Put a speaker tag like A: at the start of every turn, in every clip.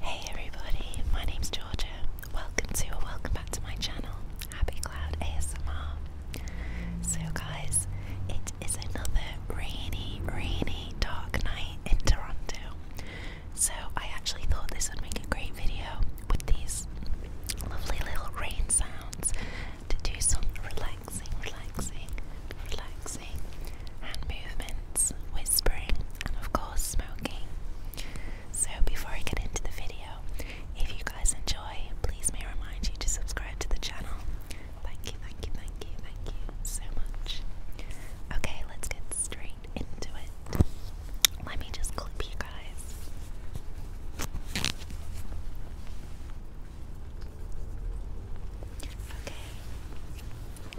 A: Hey everybody, my name is Georgia. Welcome to or welcome back to my channel, Happy Cloud ASMR. So guys, it is another rainy, rainy, dark night in Toronto. So I actually thought this would make a great video with these lovely little rain sounds to do some relaxing, relaxing, relaxing hand movements, whispering, and of course, smoking. So, before I get into the video, if you guys enjoy, please may I remind you to subscribe to the channel. Thank you, thank you, thank you, thank you so much. Okay, let's get straight into it. Let me just clip you guys. Okay.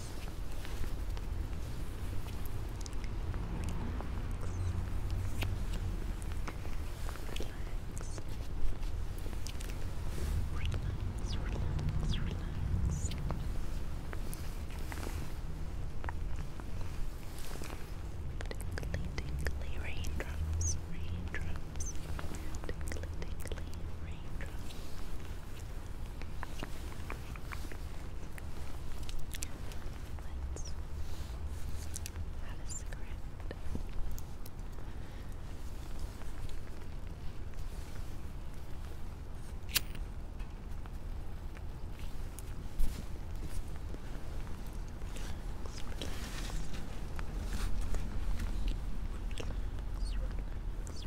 A: relax, relax, relax. Tinkly, tinkly raindrops, raindrops. Tinkly, tinkly raindrops. Tinkly, tinkly raindrops. Let's have a cigarette.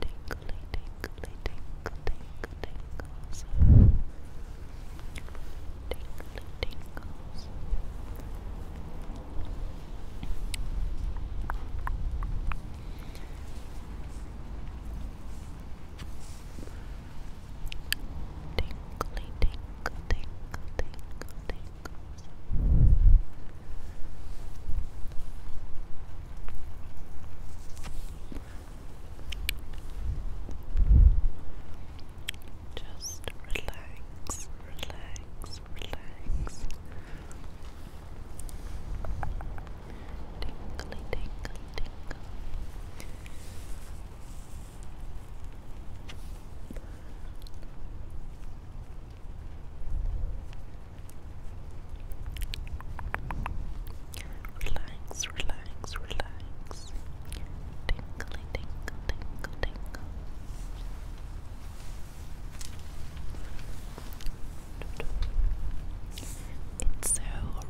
B: Tinkly, tinkly, tinkle, tinkle, tinkles. Tinkly tingles. Tinkly, tinkle, tinkle, tinkle, tinkles. Just relax, relax, relax. Tinkly, tinkle, tinkle. Relax, relax, relax. Tinkle, tinkle, tinkle, It's so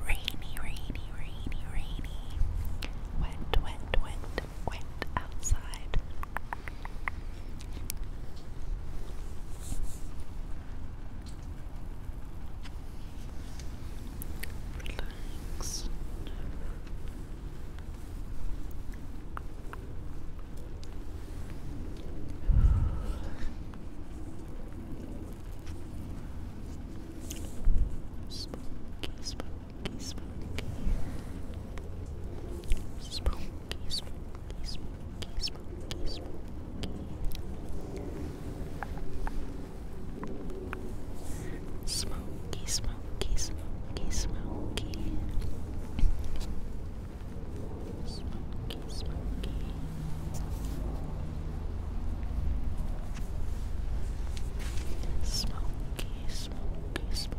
B: rainy, rainy, rainy, rainy. Wet, wet, wet, wet outside. Relax. Spooky, spooky, spooky. Spooky, spooky, spooky, spooky, Smoky, smoky, smoky, smoky. Smoky, smoky. Smoky, smoky, smoky.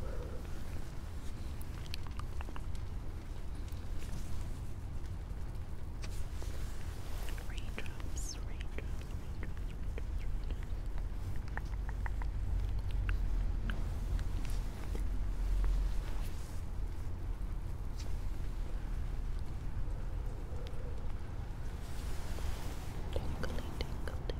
B: Raindrops, raindrops, raindrops, raindrops. Tinkly, tinkly,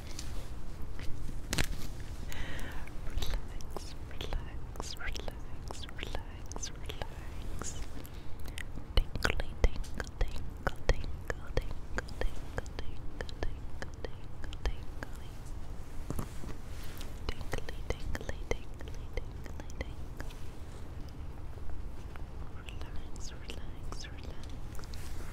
B: relax, relax, relax, relax, relax. Tinkly, tinkle, tinkle, tinkle, tinkle, tinkle, tinkle, tinkle, tinkle, tinkly. Tinkly, tinkly, tinkly, tinkly, tinkly. Relax, relax, relax.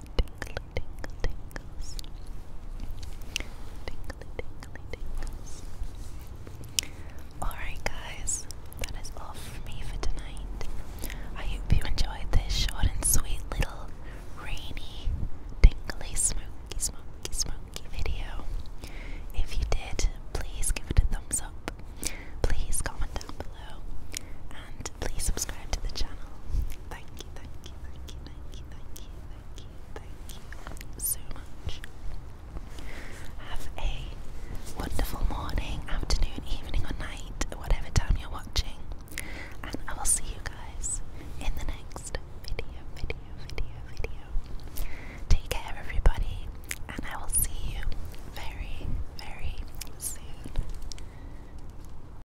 B: tingly, tingly tingles.
A: Tingly, tingly tingles. Alright, guys, that is all for me for tonight. I hope you enjoyed this short and sweet little rainy, tingly, smoky, smoky, smoky video. If you did, please give it a thumbs up. Please comment down below. And please subscribe to the channel. Thank you, thank thank you, thank you, thank you, thank you, thank you so much. Have a wonderful morning, afternoon, evening, or night, whatever time you're watching. And I will see you guys in the next video, video, video, video. Take care, everybody, and I will see you very, very soon.